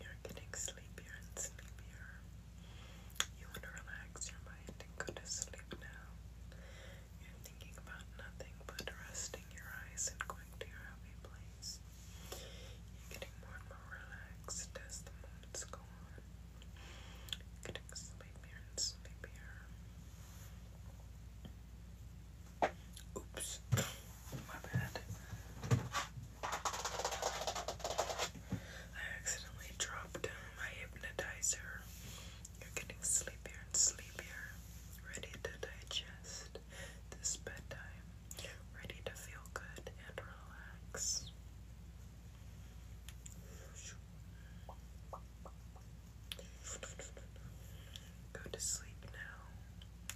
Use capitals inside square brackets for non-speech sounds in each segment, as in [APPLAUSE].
You're getting sleepier and sleepier. You want to relax your mind and go to sleep now. You're thinking about nothing but resting your eyes and going to your happy place. You're getting more and more relaxed as the moments go on. Connect sleepier and sleepier. Oops. [COUGHS] My bad. I accidentally dropped my hypnotizer. You're getting sleepier and sleepier. Ready to digest this bedtime. Ready to feel good and relax. Go to sleep now.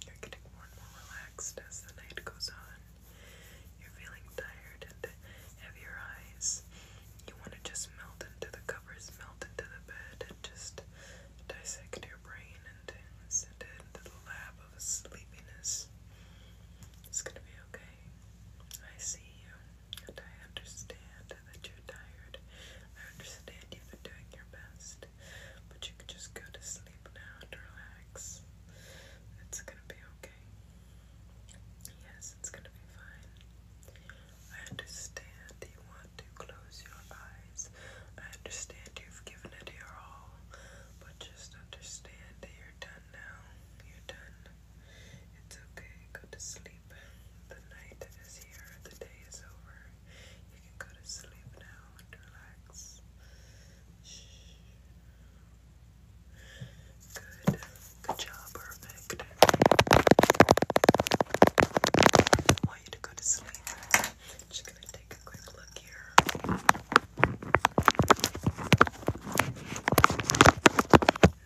You're getting more and more relaxed as the night goes on. You're feeling tired and heavier eyes. You want to just melt into the covers, melt into the bed, and just dissect your brain and send it into the lab of sleepiness. It's gonna be okay. I see you, and I understand that you're tired. I understand you've been doing your best, but you can just go to sleep now and relax. It's gonna be okay. Yes, it's gonna be fine. I understand you want to close your eyes. I understand you've given it your all, but just understand that you're done now. You're done. It's okay. Go to sleep. The night is here. The day is over. You can go to sleep now relax. Good. Good job. Perfect. I want you to go to sleep. Just gonna take a quick look here.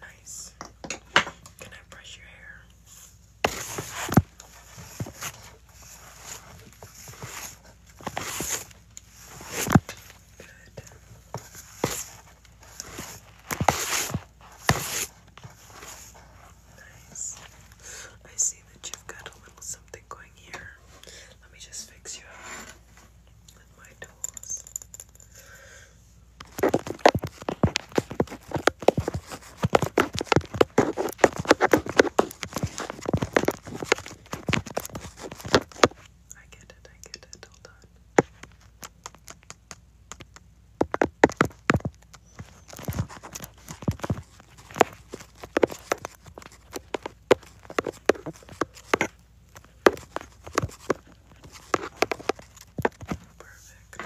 Nice. Can I brush your hair? Good. Nice. I see that you've got a little something going here. Let me just fix you up with my I get it, I get it, hold on. Perfect.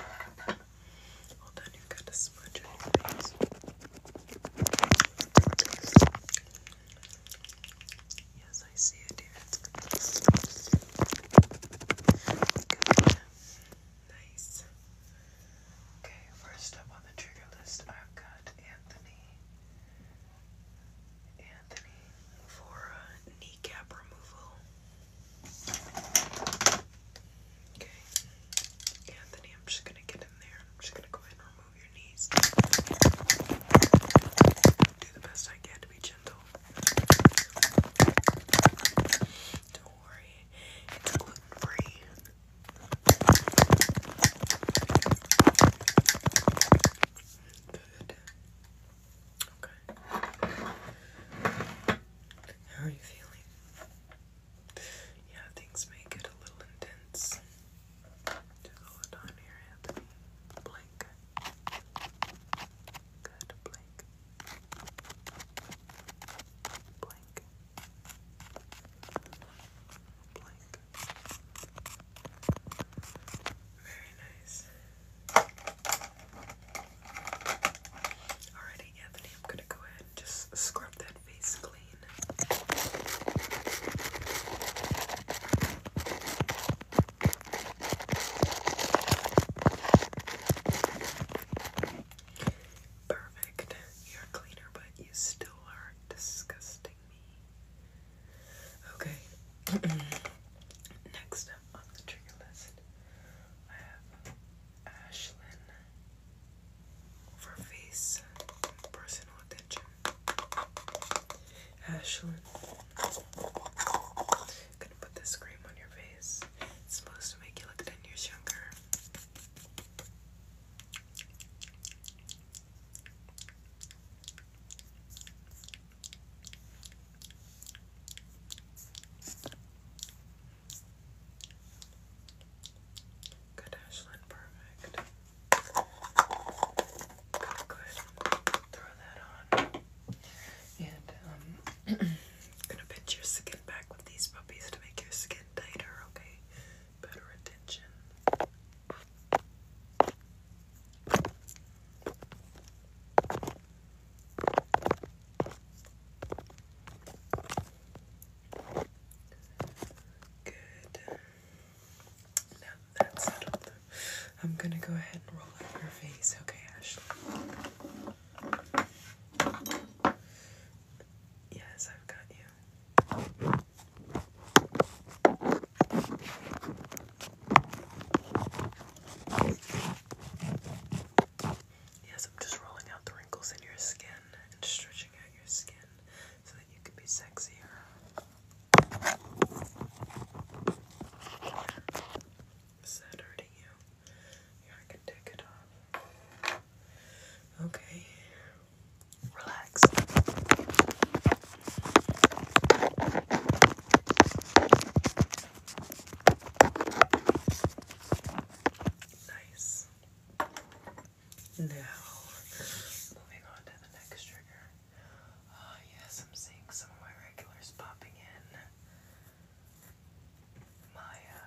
Well done, you've got to smudge on your face. Yes, I see it, dear. Good. Nice. Okay, first up on the trigger list, I've got Anthony. Anthony for kneecap removal. Okay, Anthony, I'm just gonna get in there. I'm just gonna go ahead and remove your knees. Do the best I can to be gentle. Don't worry, it's gluten free. Okay. Good. Okay. How are you feeling? Yeah, things may get a little intense. Blink. Good, blink. Blink. Blink. Very nice. Alrighty, Anthony, I'm gonna go ahead and just scrub that face clean. Perfect. You're cleaner, but you still are disgusting haunting Okay. [CLEARS THROAT] Next up on the trigger list, I have Ashlyn for face personal attention. Ashlyn, gonna put this cream on your face. supposed to make you look 10 years younger. Good, Ashlyn, perfect. Good, throw that on. And I'm um, [CLEARS THROAT] gonna pinch your skin back with these puppies to make your skin tighter, okay? Better retention. Good. Now that's settled. I'm gonna go ahead and roll up your face, okay, Ashley? Yes, I've got you. Yes, I'm just rolling out the wrinkles in your skin and stretching out your skin so that you can be sexier. Is that you? Here, I can take it off. Okay. Relax. Nice. Now, moving on to the next trigger. Oh, yes, I'm seeing some of my regulars popping in. Maya,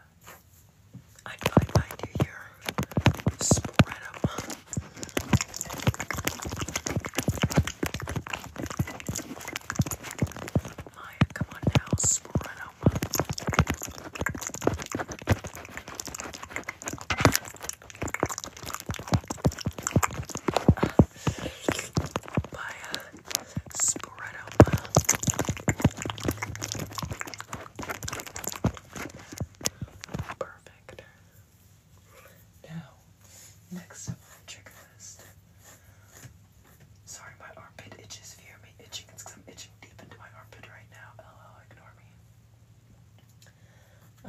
I'd probably find you Spread them. Maya, come on now, spread out. Maya, spread out. Perfect. Now, next up on the trick list. Sorry, my armpit itches. If you hear me itching, it's because I'm itching deep into my armpit right now. LOL, ignore me.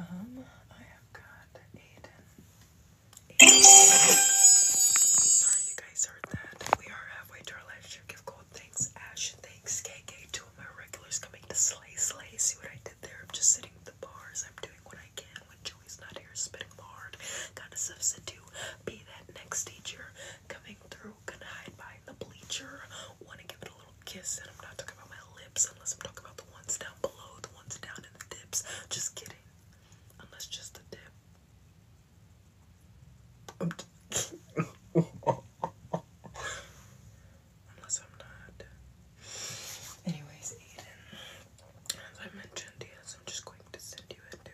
Um, I have got Aiden. Sorry, you guys heard that. We are halfway to our live stream. Give gold thanks, Ash. Thanks, KK. Two of my regulars coming to slay, slay. See what I did there? I'm just sitting at the bars. I'm doing what I can when Joey's not here, spitting hard kind of substitute, be that next teacher coming through, gonna hide behind the bleacher, want to give it a little kiss, and I'm not talking about my lips unless I'm talking about the ones down below, the ones down in the dips, just kidding, unless just the dip. [LAUGHS] unless I'm not. Anyways, Eden, as I mentioned, yes, I'm just going to send you into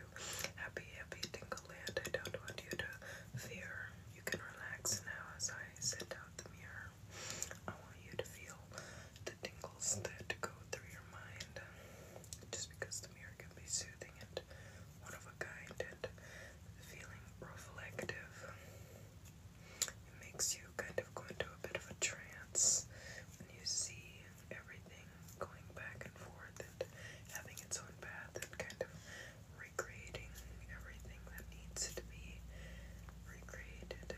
happy, happy tingle land. I don't want you to fear. You can relax now as I send out the mirror. I want you to feel the tingles that go through your mind. Just because the mirror can be soothing and one of a kind and feeling reflective. It makes you kind of go into a bit of a trance when you see everything going back and forth and having its own path and kind of recreating everything that needs to be recreated.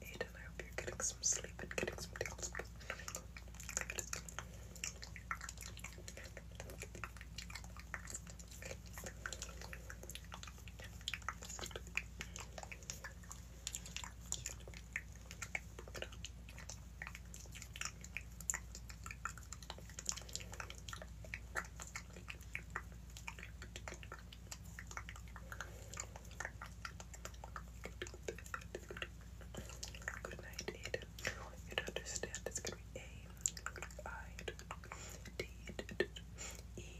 Aiden, I hope you're getting some sleep and getting some deals. Good night, Ada. You understand. It's gonna be A, I, D, E,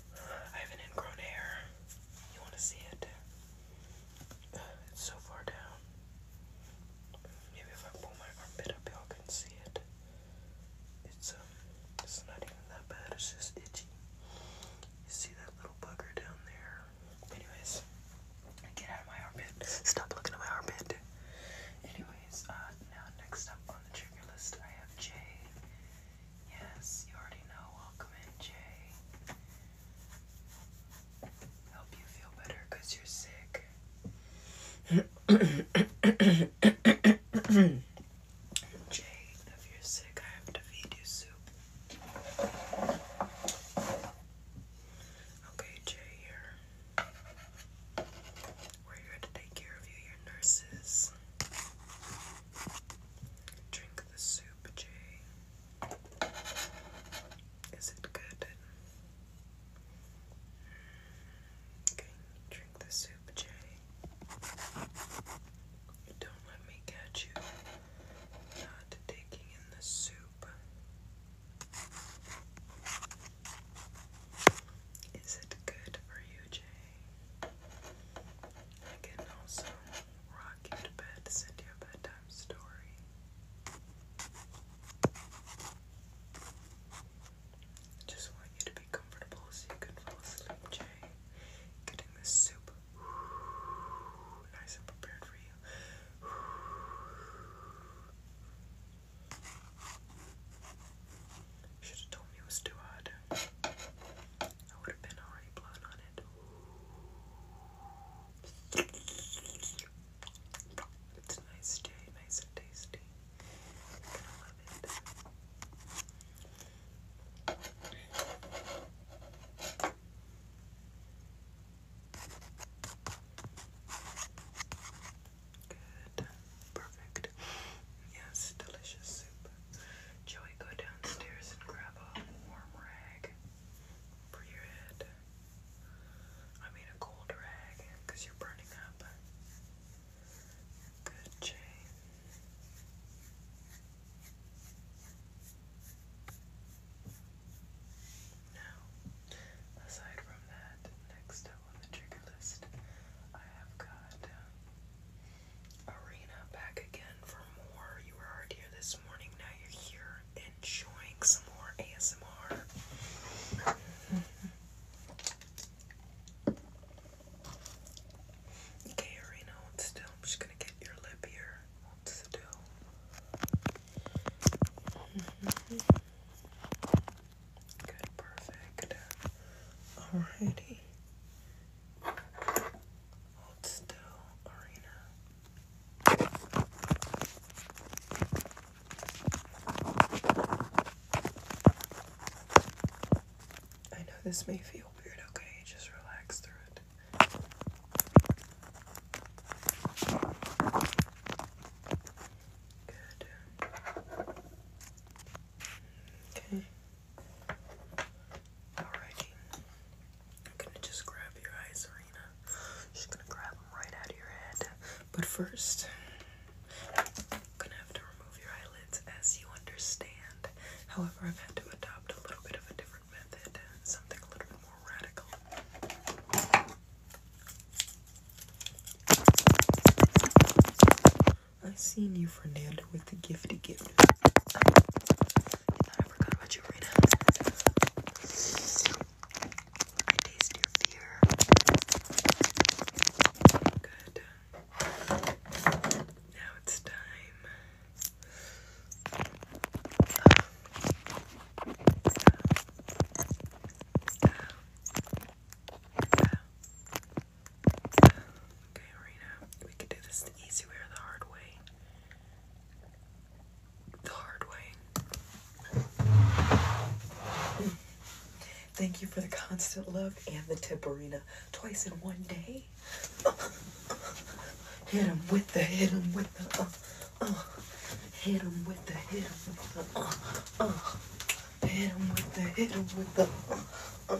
I have an ingrown hair. You want to see it? it's so far down. Maybe if I pull my armpit up, y'all can see it. It's um, it's not even that bad. It's just itchy. You see that little bugger down there? Anyways, get out of my armpit. Stop looking at my armpit. Anyways, uh, now next up on the trigger list, I have Jay. Yes, you already know. Welcome in, Jay. Help you feel better you're sick. [COUGHS] Jay, if you're sick, I have to feed you soup. Okay, Jay, here. We're here to take care of you, your nurses. Drink the soup, Jay. Is it good? Okay, drink the soup, Jay. Don't let me catch you not taking in the soup. Is it good for you, Jay? I can also rock you to bed, send you a bedtime story. Just want you to be comfortable so you can fall asleep, Jay. Getting this soup [SIGHS] nice and prepared for you. [SIGHS] Should have told me it was too hot. I would have been already blown on it. It's nice, Jay. Nice and tasty. you love it. Good. Perfect. Yes, delicious soup. Joey, go downstairs and grab a warm rag for your head. I mean a cold rag, you're burning up. Good, Jane. Now, aside from that, next up on the trigger list, I have got um, Arena back again for more. You were already here this morning, now you're here enjoying some more ASMR. [LAUGHS] okay, Arena, still. I'm just gonna get your lip here. still. [LAUGHS] Good, perfect. Alrighty. I know this may feel weird, okay? Just relax through it. Good. Okay. Alrighty. I'm gonna just grab your eyes, Arena. She's gonna grab them right out of your head. But first, I'm gonna have to remove your eyelids as you understand. However, I've had to adopt a little bit of a different method, something a little bit more radical. I've seen you, Fernando, with the gifty gift. Oh, I forgot about you, Rena. I taste your fear. Good. Now it's time. Okay, Marina, we could do this the easy way or the hard way. The hard way. Thank you for the constant love and the tip, Marina. Twice in one day. hit him with the, hit him with the, uh, uh. Hit him with the, hit him with the, uh, uh. Hit him with the, hit with the, uh, uh.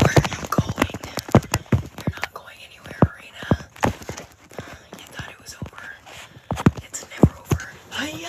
Where are you going? You're not going anywhere, Arena. You thought it was over. It's never over. Hiya!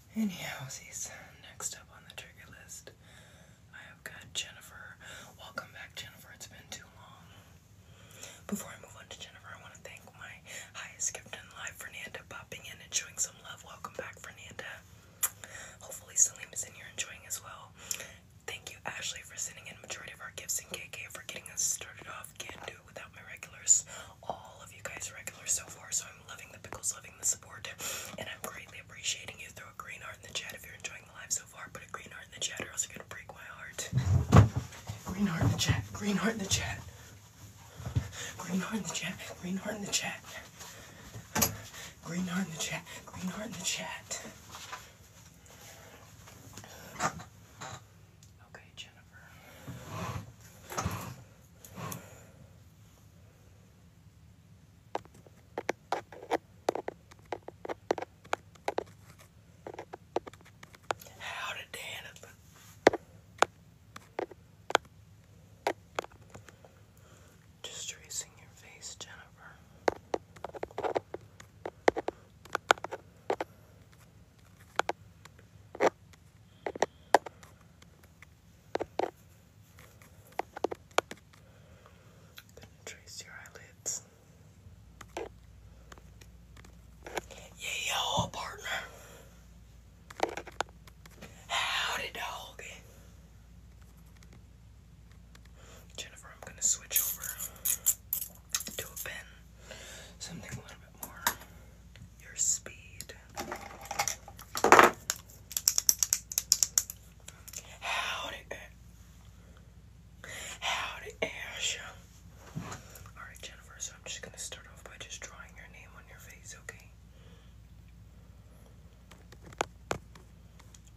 Anyhow, Anyhowsies, next up on the trigger list, I have got Jennifer. Welcome back, Jennifer. It's been too long. Before I move on to Jennifer, I want to thank my highest gift captain live, Fernanda, popping in and showing some love. Welcome back, Fernanda. Hopefully, Salim is in here enjoying as well. Thank you, Ashley, for sending in majority of our gifts in KK for getting us started off. Can't do it without my regulars. All of you guys regulars so far, so so I'm loving the pickles, loving the support, and I'm greatly appreciating you. Throw a green heart in the chat if you're enjoying the live so far. Put a green heart in the chat, or else you're gonna break my heart. Green heart in the chat. Green heart in the chat. Green heart in the chat. Green heart in the chat. Green heart in the chat. Green heart in the chat. Okay, Jennifer. Howdy, Dan. Just tracing your face, Jennifer trace your eyelids. Yeah, yo, partner. Howdy, dog. Jennifer, I'm gonna switch over to a pen. Something a little bit more your speed. Howdy, eh. howdy, Ash. Alright, Jennifer, so I'm just gonna start off by just drawing your name on your face, okay?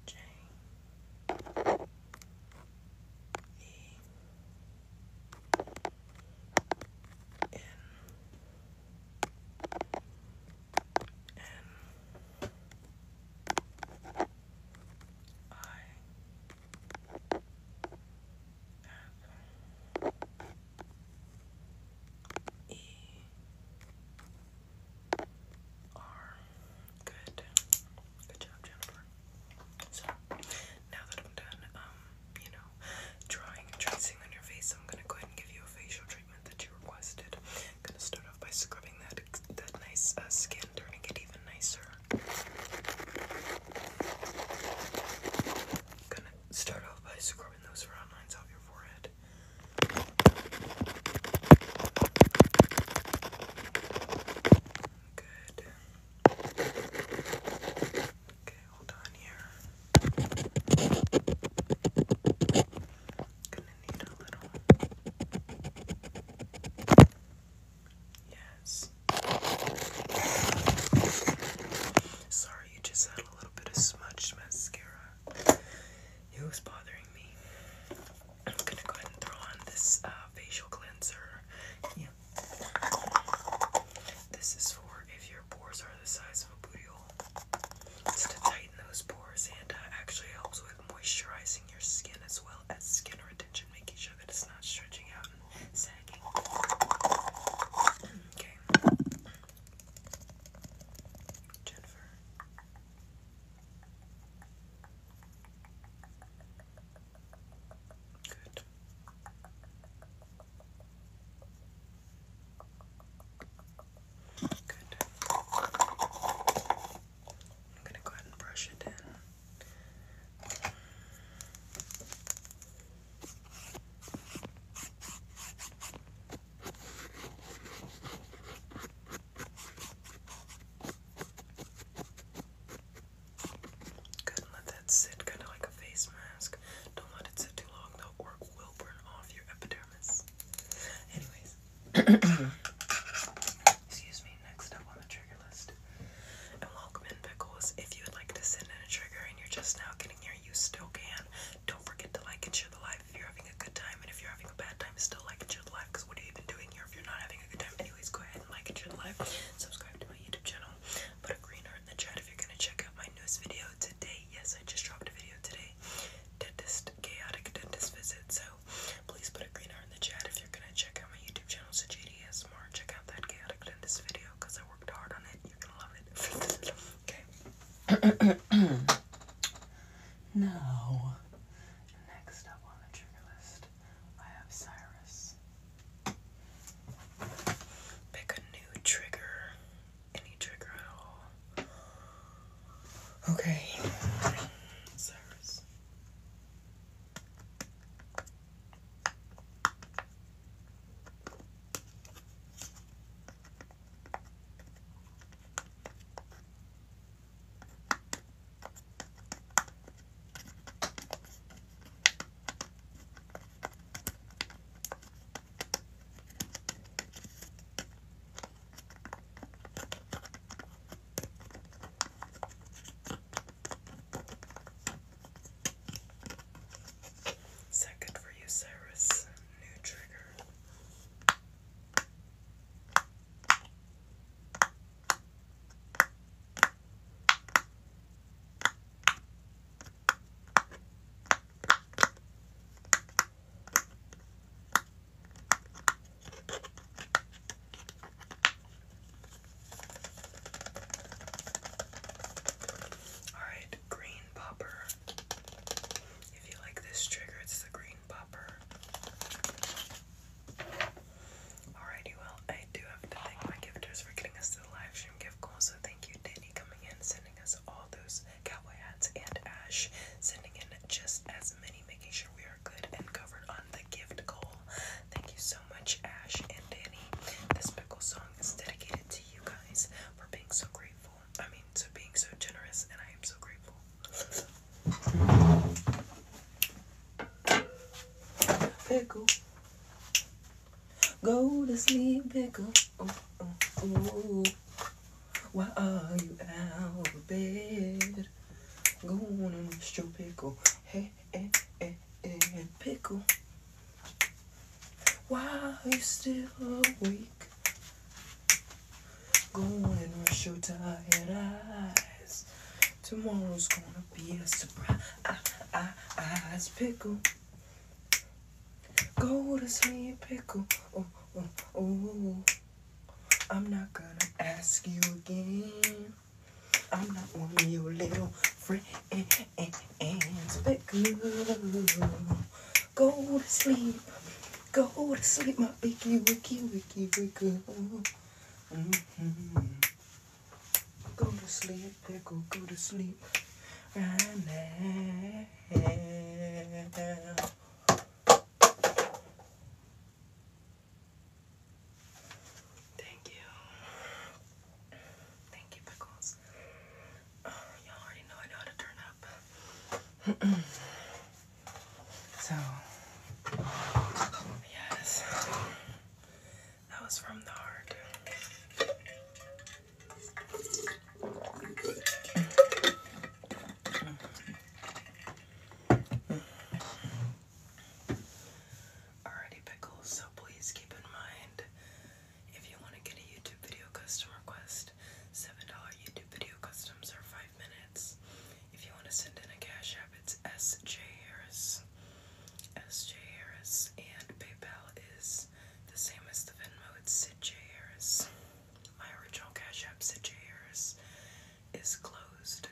J E N and Good. Good job, Jennifer. So now that I'm done, um, you know, Drawing and tracing on your face, I'm gonna go ahead and give you a facial treatment that you requested. I'm gonna start off by scrubbing that that nice uh, skin, turning it even nicer. I'm gonna start off by scrubbing those frown lines off your forehead. Good. Okay, hold on here. Gonna need a little. Yes. Sorry, you just had a little bit of smudged mascara. It was bothering me. I'm gonna go ahead and throw on this uh, facial cleanser. Yeah. This is for if your pores are the size of a booty hole. So to tighten those pores and uh, actually helps with moisturizing your skin as well as skin retention, making sure that it's not stretching out and sagging. Okay. Jennifer. Good. Good. I'm gonna go ahead and brush it in. Good, let that sit kind of like a face mask. Don't let it sit Anyways, [COUGHS] excuse me. Next up on the trigger list, and welcome in pickles. If you would like to send in a trigger and you're just now getting here, you still can. Don't forget to like and share the live if you're having a good time, and if you're having a bad time, still like and share the live. Because what are you even doing here if you're not having a good time? Anyways, go ahead and like and share the live. Subscribe to my YouTube channel. Put a green there in the chat if you're gonna check out my newest video today. Yes, I just dropped a video today. Dentist chaotic dentist visit. So please put a green heart in the chat if you're gonna check out my YouTube channel, so JDSMR. Check out that chaotic dentist video because I worked hard on it. You're gonna love it. [LAUGHS] okay. [COUGHS] now, next up on the trigger list, I have Cyrus. Pick a new trigger any trigger at all. Okay. Is good for you, Cyrus? New trigger. Alright, green popper. If you like this trigger, it's the green popper. Alrighty, well, I do have to thank my gifters for getting us to the live stream gift goal, so thank you, Danny, coming in, sending us all those cowboy hats and Ash sending in just as many, making sure we are good and covered on the gift goal. Thank you so much, Ash and Danny. This pickle song is dedicated to you guys for being so grateful. I mean, for being so generous, and I am so grateful. Pickle. Go to sleep, pickle. Oh, oh, oh, Why are you out of bed? Go on and rest your pickle. Hey, hey, hey, hey, pickle. Why are you still awake? Go on and rest your tired eyes. Tomorrow's gonna be a surprise, pickle. Go to sleep, pickle. Oh, oh, oh. I'm not gonna ask you again. I'm not one of your little friends. Pickle. Go to sleep. Go to sleep, my picky, wicky, wicky, pickle. Mm-hmm. Go to sleep, pickle. Go to sleep right now. Thank you. Thank you, Pickles. Y'all already know I know how to turn up. [CLEARS THROAT] so, yes, that was from the heart. Alrighty, pickles. So please keep in mind if you want to get a YouTube video custom request, $7 YouTube video customs are 5 minutes. If you want to send in a Cash App, it's SJ Harris. SJ Harris and PayPal is the same as the Venmo. Sid J. Harris. My original Cash App Sid J. Harris is closed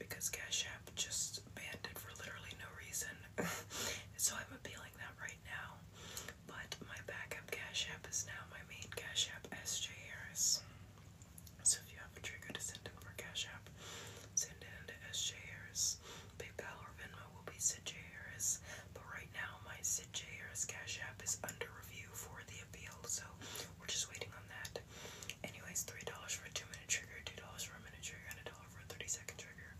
because Cash App just banned it for literally no reason. [LAUGHS] so I'm appealing that right now. But my backup Cash App is now my main Cash App S. J. Harris. So if you have a trigger to send in for Cash App, send it into S. J. Harris, PayPal, or Venmo, will be Sid J. Harris, but right now my Sid J. Harris Cash App is under review for the appeal, so we're just waiting on that. Anyways, $3 for a 2 minute trigger, $2 for a minute trigger, and $1 for a 30 second trigger.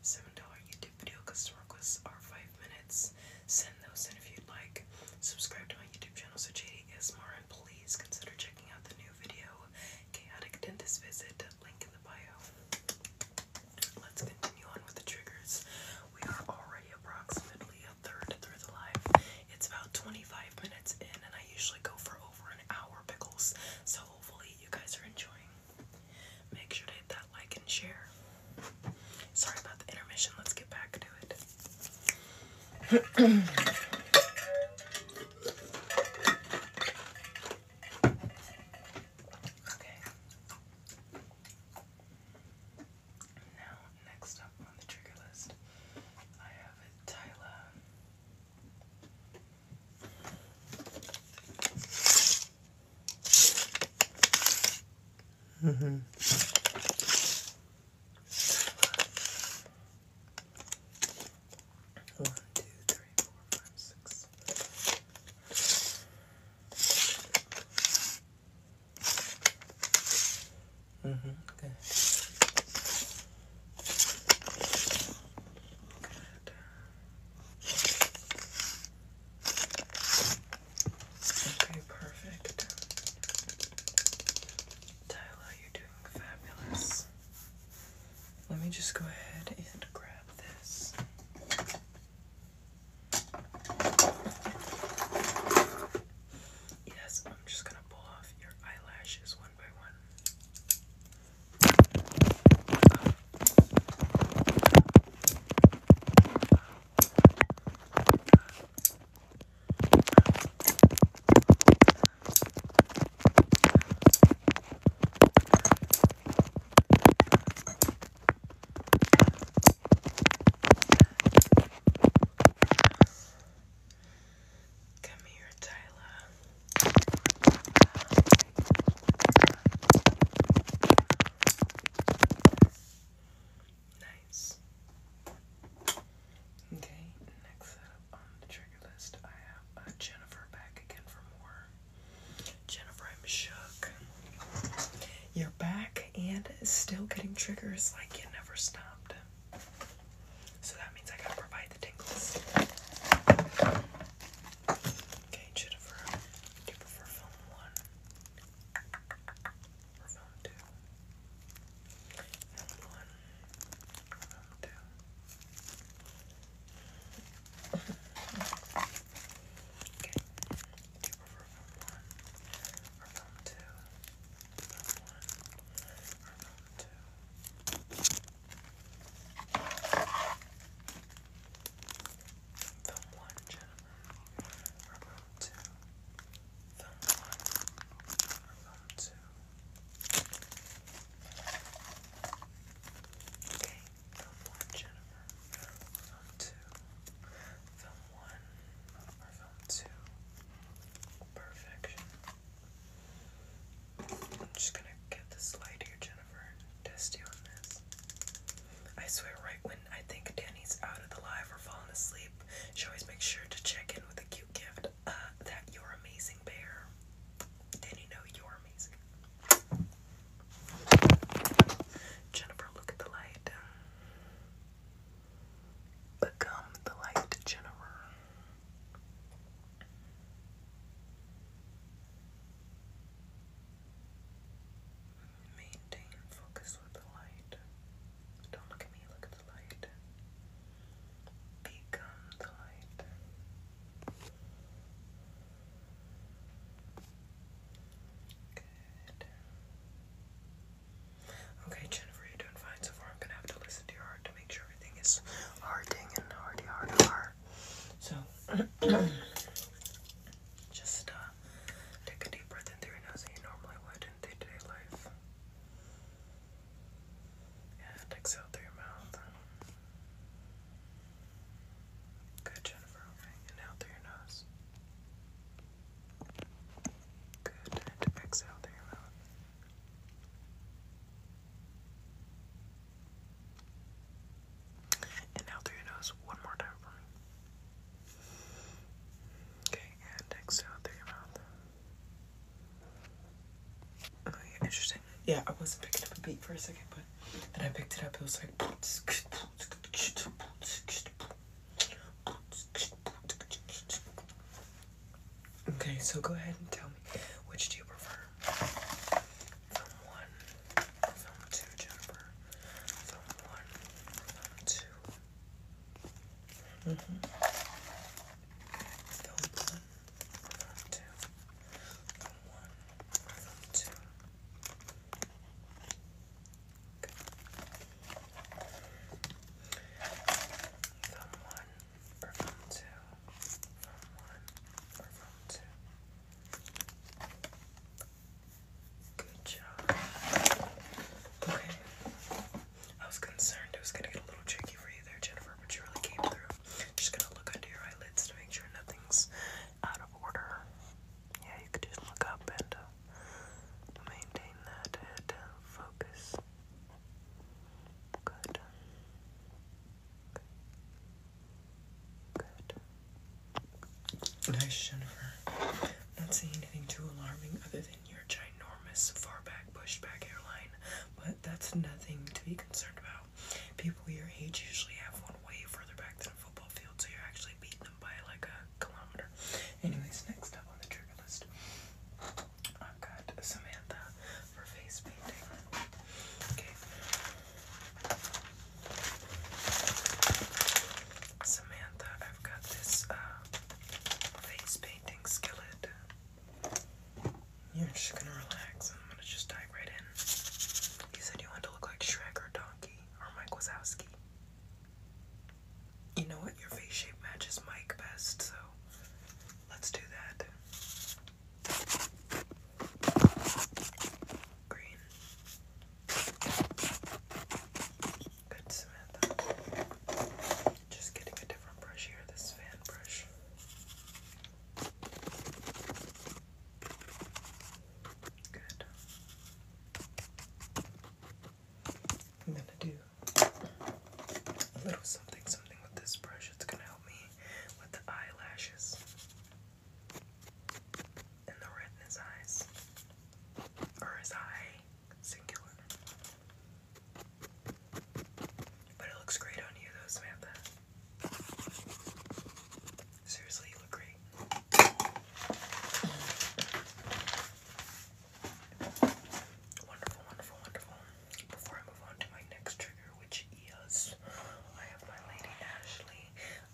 $7 YouTube video customer requests are 5 minutes. Send those in if you'd like. Subscribe to my YouTube channel, so JD ASMR, please consider checking out the new video, Chaotic Dentist Visit, link in the bio let's continue on with the triggers. We are already approximately a third through the live. It's about 25 minutes in, and I usually go for over an hour pickles. So hopefully you guys are enjoying. Make sure to hit that like and share. Sorry about the intermission. Let's get back to it. [CLEARS THROAT] okay. Now, next up on the trigger list, I have Tyla. Mm -hmm. One, two, three, four, five, six, Mm-hmm. Good. Okay, perfect. Tyler, you're doing fabulous. Let me just go ahead and grab this. Yes, I'm just going to pull off your eyelashes one by one. Come here, Tyler. Nice. Okay, next up on the trigger list, I have uh, Jennifer back again for more. Jennifer, I'm shook. You're back and still getting triggers like you never stopped. So that means I gotta provide the tingles. Okay, Jennifer, do you one or two? one or two? over film one, film two, film one, film two. Film one, gentlemen, film two, film one, film two. Okay, Film one, Jennifer. Film two. Film one or film two. Perfection. I'm just gonna get this light here, Jennifer. Test you on this. I swear, right when I think Danny's out of the live or falling asleep, she always makes sure to check in with a cute gift. Uh, that you're amazing bear. Danny, know you're amazing. Jennifer, look at the light. Become the light, Jennifer. Maintain focus with the light. Don't look at me, look at the light. Become the light. Okay, Jennifer, you're doing fine so far. I'm gonna have to listen to your heart to make sure everything is hearting and hearty heart heart. So [CLEARS THROAT] just uh, take a deep breath in through your nose that you normally would in day to -day life. And exhale through your mouth. Good, Jennifer. Okay, through your nose. Good, exhale through your mouth. And out through your nose one more time for me. Okay, and exhale through your mouth. Oh, interesting. Yeah, I wasn't picking up a beat for a second, but then I picked it up. It was like. Okay, so go ahead and tell me which do you prefer? one, two, Jennifer. one, two. Mm-hmm. one, two. From one or from two. From one or from two. Good job. Okay. I was concerned it was gonna get a little tricky for you there, Jennifer, but you really came through. Just gonna look under your eyelids to make sure nothing's out of order. Yeah, you could just look up and uh, maintain that head uh, focus. Good. Good. Nice, Jennifer. Not seeing anything too alarming other than your ginormous far back pushed back hairline, but that's nothing to be concerned about. People your age usually have one way further back than a football field, so you're actually beating them by like a kilometer. Anyways, next up on the trigger list, I've got Samantha for face painting. Samantha, I've got this uh, face painting skillet. You're just gonna relax. I'm gonna just dive right in. You said you wanted to look like Shrek or Donkey or Mike Wazowski. You know what? Your face shape matches Mike best, so let's do that. Green. Good, Samantha. Just getting a different brush here, this fan brush. Good. I'm gonna do a little something, something with this brush. It's gonna help me with the eyelashes and the red eyes, or his eye, singular. But it looks great on you, though, Samantha. Seriously, you look great. Wonderful, wonderful, wonderful. Before I move on to my next trigger, which is I have my lady Ashley.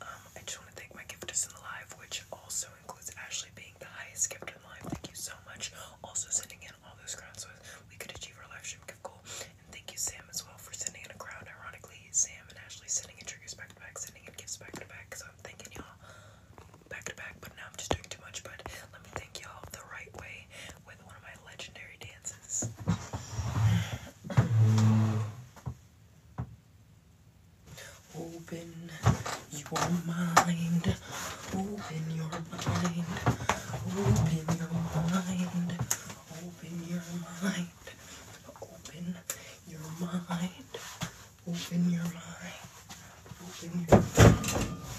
Um, I just want to thank my gifters in the live, which also includes Ashley being the highest gift in the live. Thank you so much. Also sending in all those crowds so we could achieve our live stream gift goal. And thank you, Sam, as well for sending in a crowd. Ironically, Sam and Ashley sending in triggers back back sending in gifts back to back. So I'm thanking y'all back to back, but now I'm just doing too much. But let me thank y'all the right way with one of my legendary dances. Open your mind, open your mind, open your mind, open your mind, open your mind. Open your mind. Open your mind.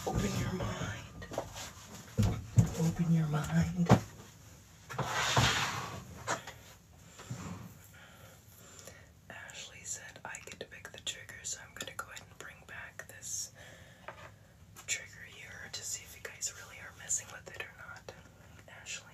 Open your mind. Open your mind. Ashley said I get to pick the trigger, so I'm going to go ahead and bring back this trigger here to see if you guys really are messing with it or not. Ashley.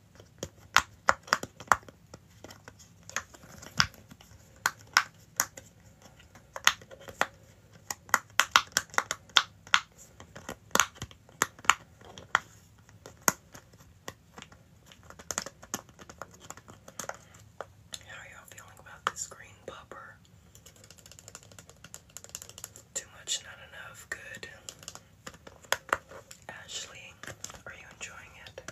How are y'all feeling about this green popper? Too much, not enough. Good. Ashley, are you enjoying it?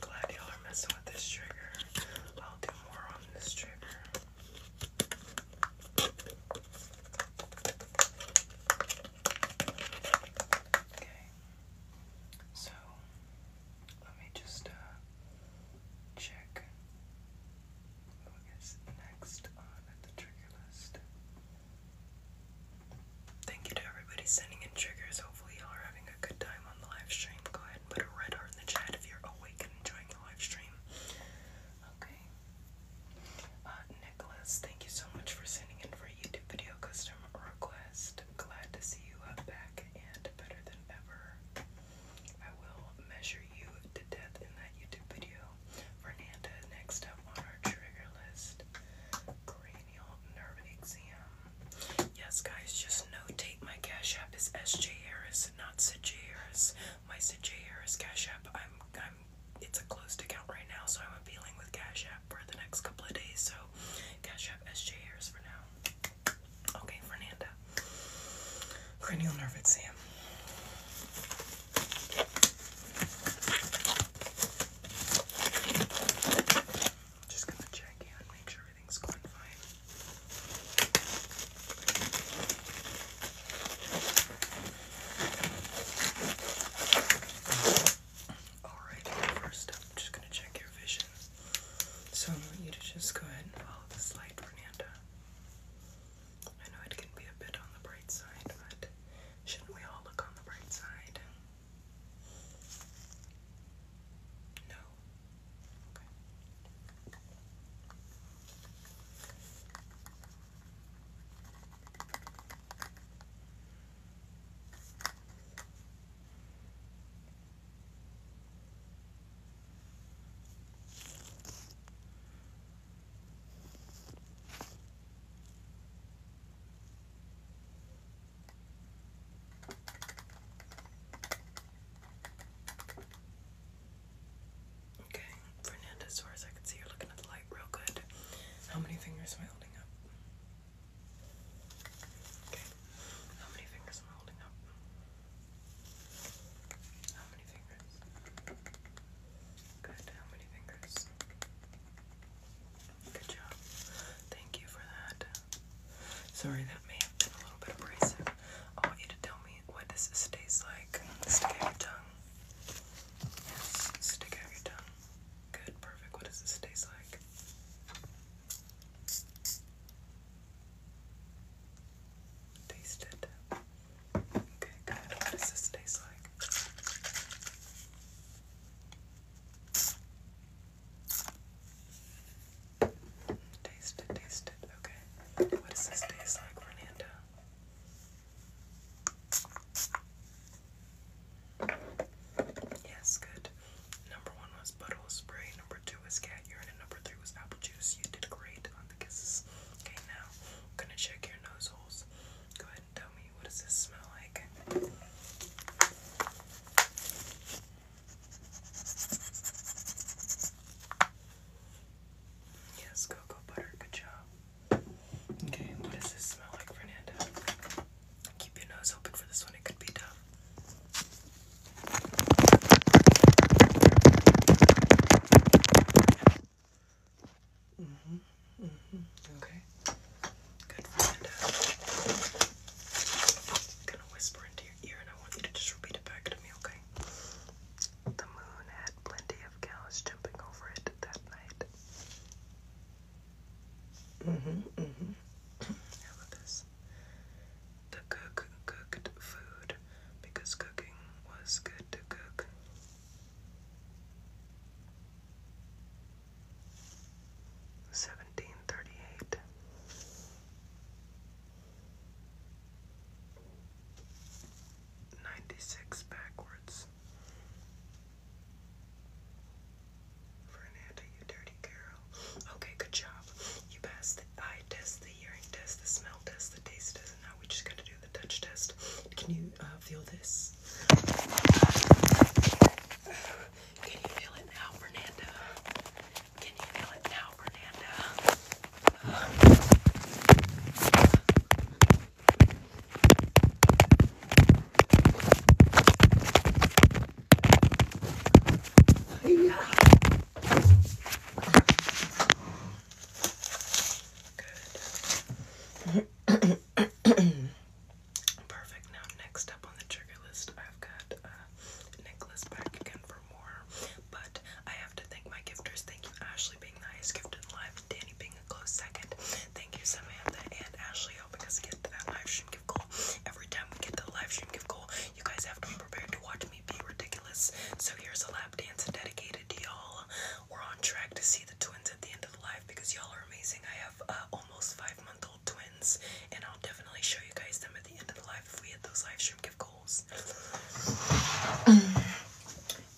Glad y'all are messing with this trigger. I'll do more on this trigger. Okay. So let me just uh check next on the trigger list. Thank you to everybody sending in triggers. Hopefully, you are having a good time on the live stream. Go ahead and put a red heart in the chat if you're awake and enjoying the live stream. Okay. Uh, Nicholas, thank you so much for sending in for a YouTube video custom request. Glad to see you back and better than ever. I will measure you to death in that YouTube video. Fernanda, next up on our trigger list, cranial nerve exam. Yes, guys, just notate my cash app is SJ Harris, not CJ Harris. My CJ Harris cash app, I'm, I'm, it's a closed account right now, so I'm appealing with cash app for the next couple of days. So, cash app SJ Harris for now. Okay, Fernanda. Cranial nerve exam. Just gonna check and make sure everything's going fine. Alright, first up, I'm just gonna check your vision. So I want you to just go ahead and follow this light, Fernanda. I know it can be a bit on the bright side, but shouldn't we all look on the bright side? No. Okay, Fernanda, as I can see, you're looking at the light real good. How many fingers am I holding up? Okay, how many fingers am I holding up? How many fingers? Good. How many fingers? Good job. Thank you for that. Sorry, that may have been a little bit abrasive. I want you to tell me what does this taste like? Stick out your tongue. stick out your tongue. Good, perfect. What does this taste like? Taste it. Okay, good. What does this taste like? Taste it, taste it. Okay. What does this taste like, Fernanda? Yes, good. Number one was butthole spray, number two was cat urine, and number three was apple juice. You did great on the kisses. Okay, now I'm gonna check your nose holes. Go ahead and tell me what does this smell like? Yes, cocoa butter, good job. Okay, what does this smell like, Fernanda? Keep your nose open for this one, it could be tough. Mm-hmm. Mm-hmm. Okay. Good friend. I'm gonna whisper into your ear and I want you to just repeat it back to me, okay? The moon had plenty of cows jumping over it that night. Mm-hmm. Mm-hmm. How about this? the cook cooked food because cooking was good to cook. Seventeen thirty backwards. Fernanda, you dirty girl. Okay, good job. You passed the test, the hearing test, the smell test, the taste test, and now we just gotta do the touch test. Can you uh, feel this? Can you feel it now, Fernanda? Can you feel it now, Fernanda? Uh. [COUGHS] Perfect. Now, next up on the trigger list, I've got uh, Nicholas back again for more. But I have to thank my gifters. Thank you, Ashley, being the highest gift gifted live, Danny being a close second. Thank you, Samantha and Ashley, helping us get to that live stream gift goal. Every time we get to the live stream gift goal, you guys have to be prepared to watch me be ridiculous. So here's a lap dance dedicated to y'all. We're on track to see the twins at the end of the live because y'all are amazing. I have uh, almost five month old twins, and I'll definitely show you guys them at the end of the live if we hit those live stream gift goals. [SNIFFS]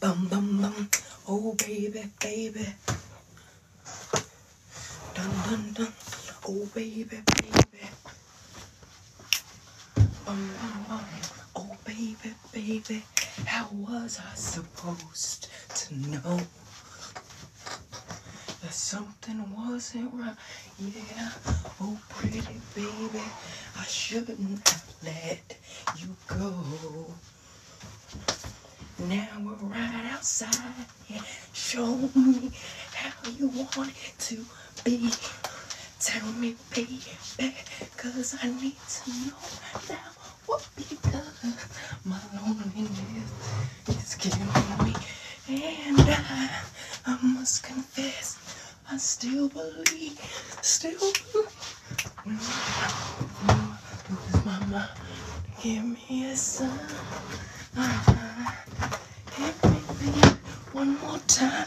Bum bum bum. Oh baby, baby. Dun dun dun. Oh baby, baby. Oh, oh, oh. oh, baby, baby, how was I supposed to know that something wasn't right? Yeah, oh, pretty baby, I shouldn't have let you go. Now we're right outside. Yeah, show me how you want it to be. Tell me, baby, cause I need to know now what because my loneliness is killing me. And I, I must confess, I still believe, still believe. When I lose my mind, give me a sign. Uh, hit me, one more time.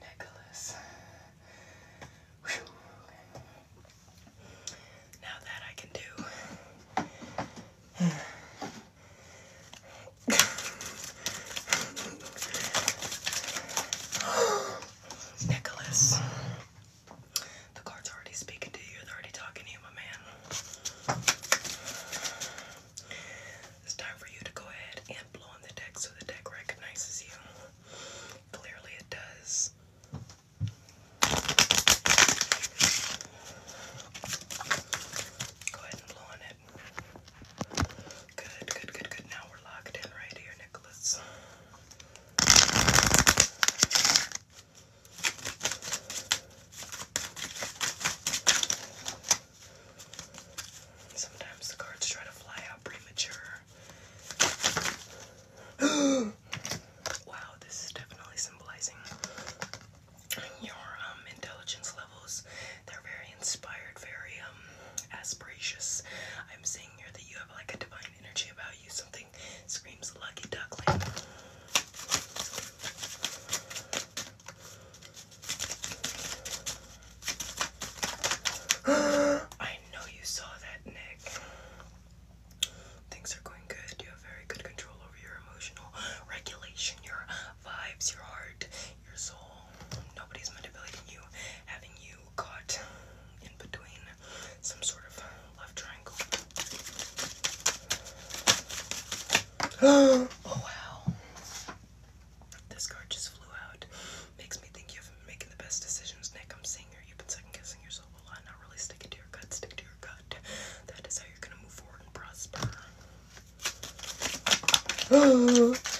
Nicholas. Now that I can do. Nicholas, the card's already speaking to you. They're already talking to you, my man. It's time for you to go ahead and blow on the deck so the deck recognizes you. Clearly, it does. Go ahead and blow on it. Good, good, good, good. Now we're locked in right here, Nicholas. Sometimes the cards try to fly out premature. [GASPS] wow, this is definitely symbolizing your um, intelligence levels. They're very inspired, very um, I'm seeing here that you have like a divine energy about you. Something screams lucky duckling. [GASPS] I know you saw that, Nick. Things are going good. You have very good control over your emotional regulation, your vibes, your heart, your soul. Nobody's manipulating you, having you caught in between some sort of love triangle. [GASPS] oh wow. This card just flew out. Makes me think you've been making the best decisions, Nick. I'm seeing you. You've been second guessing yourself a lot. Not really sticking to your gut. Stick to your gut. That is how you're gonna move forward and prosper. [GASPS]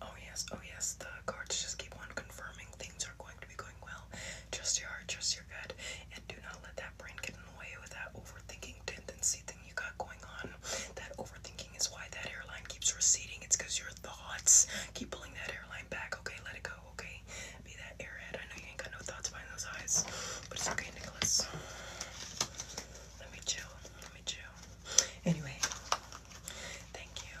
Oh yes, oh yes, the cards just keep on confirming things are going to be going well. Trust your heart, trust your gut, and do not let that brain get in the way with that overthinking tendency you got going on. That overthinking is why that hairline keeps receding. It's because your thoughts keep pulling that hairline back. Okay, let it go. Okay, be that airhead. I know you ain't got no thoughts behind those eyes, but it's okay, Nicholas. Let me chill. Let me chill. Anyway, thank you.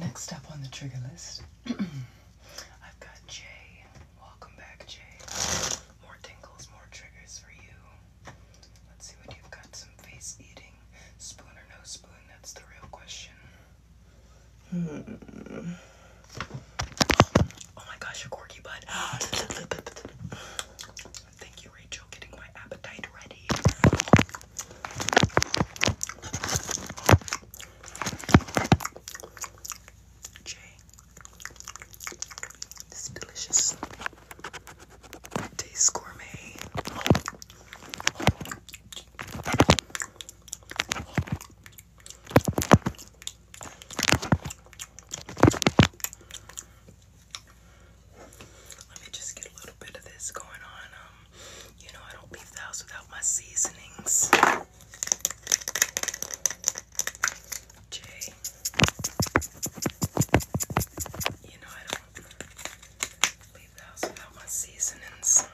Next up on the trigger list, [CLEARS THROAT] I've got Jay. Welcome back, Jay. More tingles, more triggers for you. Let's see what you've got. Some face eating. Spoon or no spoon? That's the real question. Hmm. Oh my gosh, a corky butt. [GASPS] Thank you, Rachel, getting my appetite ready. Jay, it's delicious. Taste gourmet. Let me just get a little bit of this going on. Um, you know, I don't leave the house without my seasonings. Jay. You know I don't leave the house without my seasonings.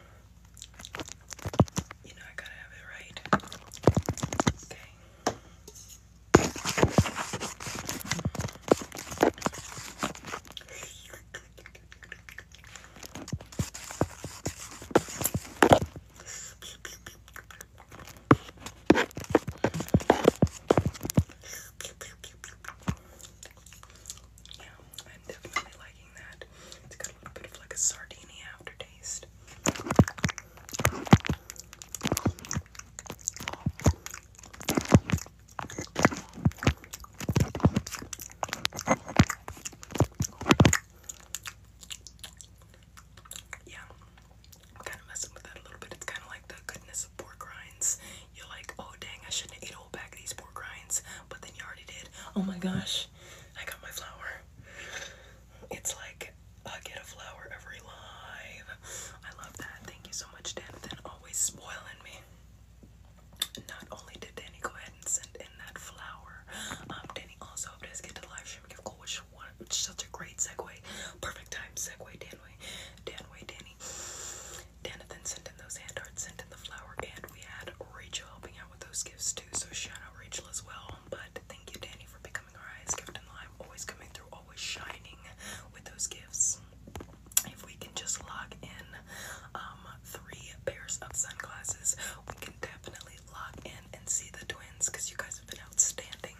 You know I gotta have it right. Okay. Yeah, I'm definitely liking that. It's got a little bit of like a sardini aftertaste. Yeah, kind of messing with that a little bit. It's kind of like the goodness of pork rinds. You're like, oh dang, I shouldn't have a whole bag of these pork rinds, but then you already did. Oh my gosh, I got my flour. It's like I get a flower every live. I love that. Thank you so much, Danathan. Always spoiling me. Not only did Danny go ahead and send in that flower, um, Danny also helped get to live stream and give such a great segue. Perfect time segue, Danway. Danway, Danny. Danathan sent in those hand arts, sent in the flower, and we had Rachel helping out with those gifts too. So shout out Rachel as well. But thank you, Danny, for becoming our highest gift in life. Always coming through, always shining with those gifts. If we can just log in um three pairs of sunglasses, we can definitely actually in and see the twins because you guys have been outstanding.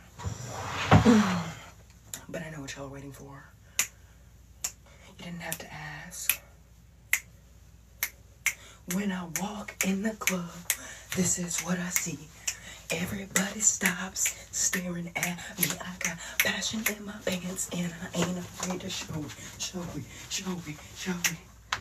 [SIGHS] but I know what y'all are waiting for. You didn't have to ask. When I walk in the club, this is what I see. Everybody stops staring at me. I got passion in my pants and I ain't afraid to show it, show it, show it, show it.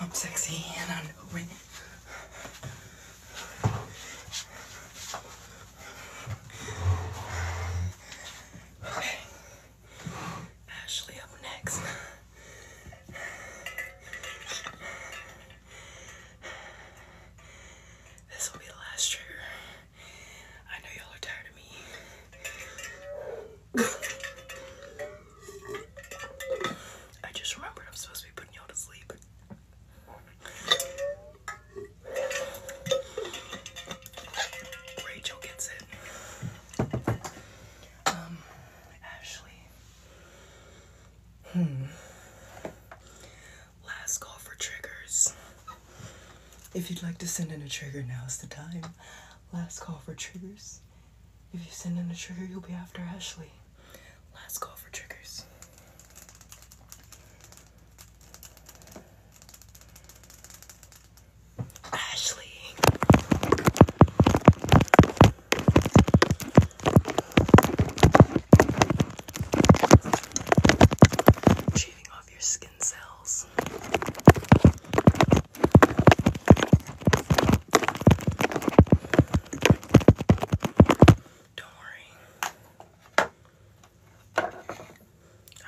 I'm sexy and I know it. Okay. Ashley up next. This will be the last trigger. I know y'all are tired of me. I just remembered I'm supposed to be putting y'all to sleep. Rachel gets it. Um, Ashley. Hmm. Last call for triggers. If you'd like to send in a trigger, now's the time. Last call for triggers. If you send in a trigger, you'll be after Ashley. Last call for triggers. Ashley. Shaving off your skin cells. Don't worry. I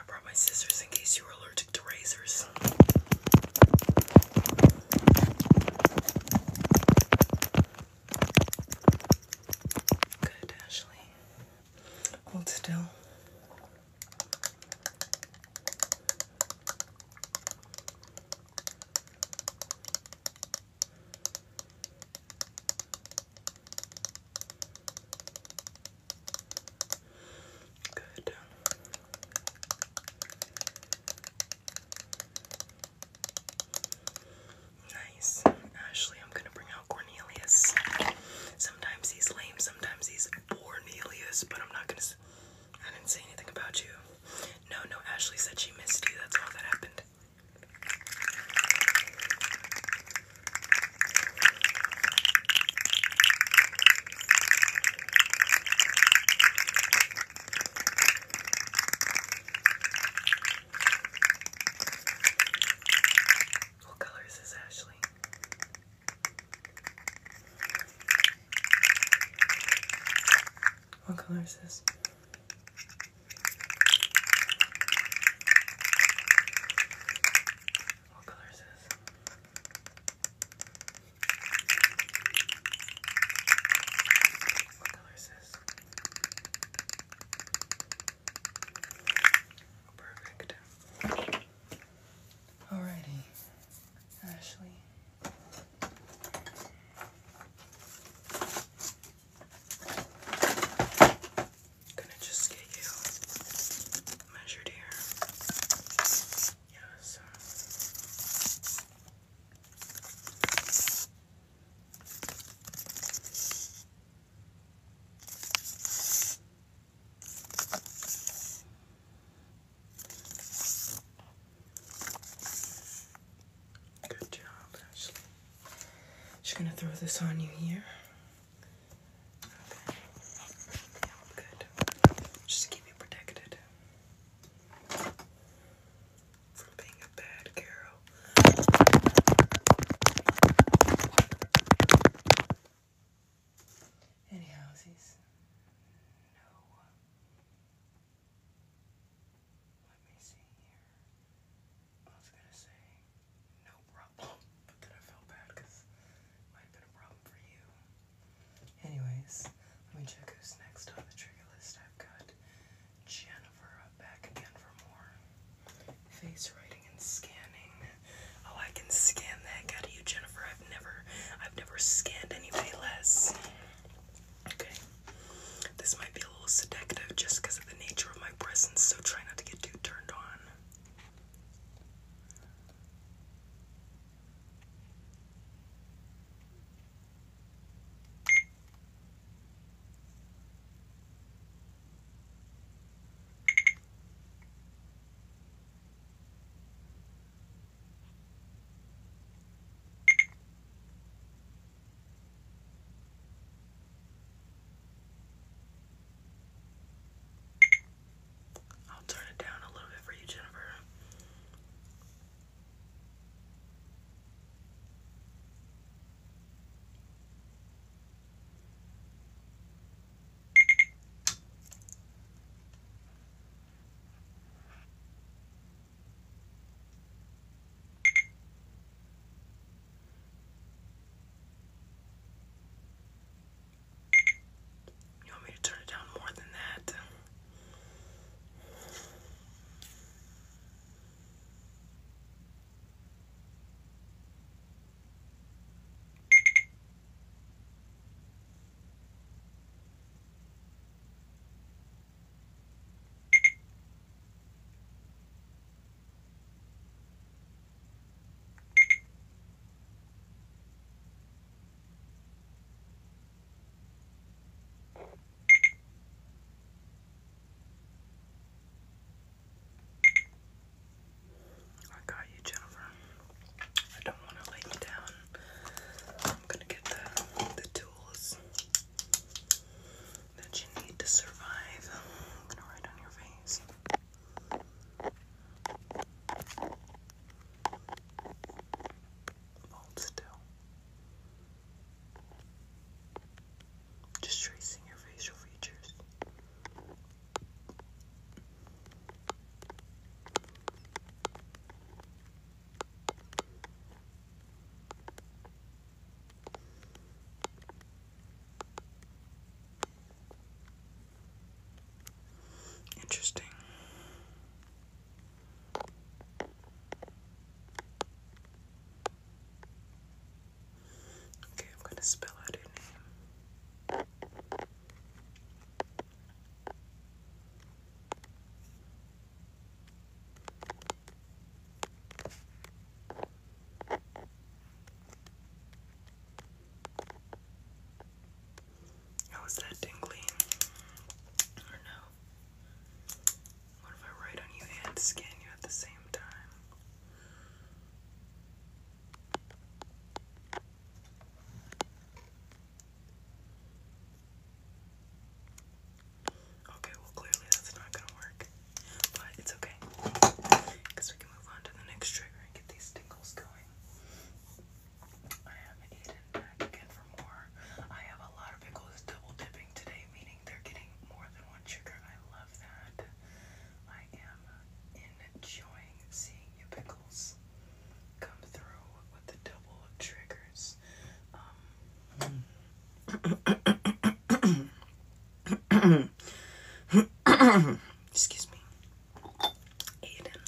brought my scissors in case you were allergic to razors. Good, Ashley. Hold still. Good. Nice. Ashley, I'm gonna bring out Cornelius. Sometimes he's lame, sometimes he's Cornelius, but I'm not gonna I didn't say anything about you. No, no, Ashley said she missed you. That's all that happened. What color is Ashley? What color is this? What color is this? Perfect. Alrighty, Ashley. Gonna just get you measured here. Yes. Good job, Ashley. Just gonna throw this on you here. Okay. Good. Just to keep you protected from being a bad girl. Any houses? No. Let me see here. I was gonna say no problem, [LAUGHS] but then I felt bad might have a problem for you. Anyways, let me check who's next on the trigger list. I've got Jennifer back again for more face writing and scanning. Oh, I can scan that. Got you, Jennifer. I've never, I've never scanned anybody less. Okay. This might be a little seductive just because of the nature of my presence, so try not to get too turned on. I'll turn it down a little bit for you, Jennifer. You want me to turn it down more than that? I got you, Jennifer. I don't want to let you down. I'm gonna get the, the tools that you need to survive. I'm gonna write on your face. Hold still. Just tracing your facial features. Interesting. Okay, I'm going to spell out your name. How is that tingling? I don't know. What if I write on you and scan you at the same time? Okay, well, clearly that's not gonna work, but it's okay because we can move on to the next trigger and get these tingles going. I am Aiden again for more. I have a lot of pickles double dipping today, meaning they're getting more than one trigger. I love that. I am enjoying seeing you pickles come through with the double triggers excuse me. Aiden,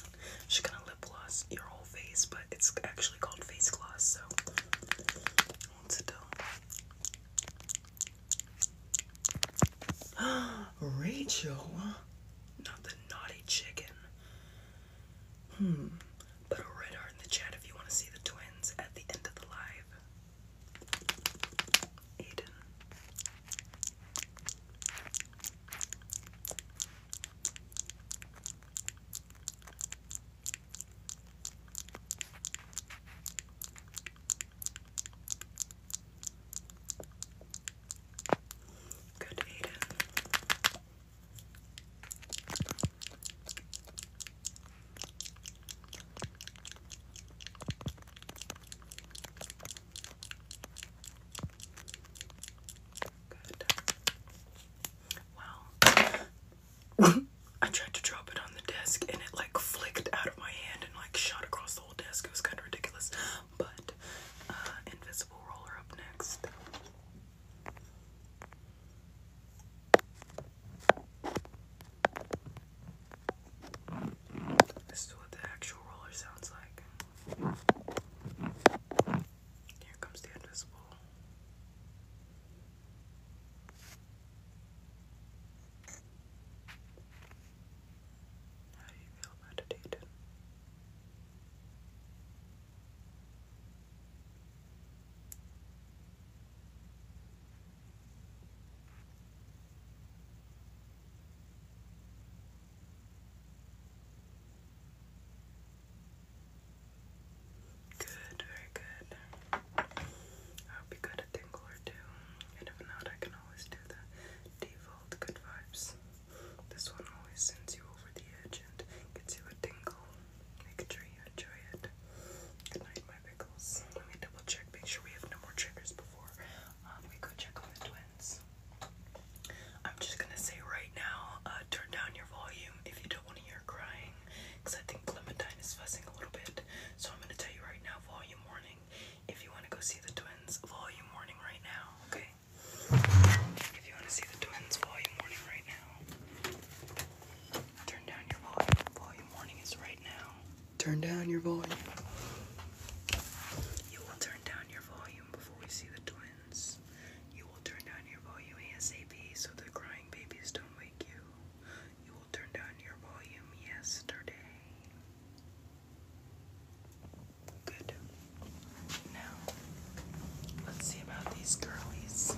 she's gonna lip gloss your whole face, but it's actually called face gloss, so Rachel, not the naughty chicken. Hmm. Put a red heart in the chat if you want to see the twins at the end of the live. Aiden. Good Aiden. Well, [LAUGHS] I tried to drop it on the desk and it like flicked out of my hand and like shot across the whole desk. It was kind of ridiculous. But uh, invisible roller up next. This is what the actual roller sounds like. Here comes the invisible. How do you feel about it, Aiden? Good, very good. I'll be good at tingle or two, and if not, I can always do the default good vibes. This one always sends you over the edge and gets you a tingle. Make sure you enjoy it. Good my pickles. Let me double check, make sure we have no more triggers before um, we go check on the twins. I'm just gonna say right now, uh, turn down your volume if you don't want to hear crying, because I think Clementine is fussing a little bit. So I'm gonna tell you right now, volume warning. If you want to go see the twins, volume warning right now, okay? If you want to see the twins' volume warning right now, turn down your volume. Volume warning is right now. Turn down your volume. You will turn down your volume before we see the twins. You will turn down your volume ASAP so the crying babies don't wake you. You will turn down your volume yesterday. Good. Now, let's see about these girlies.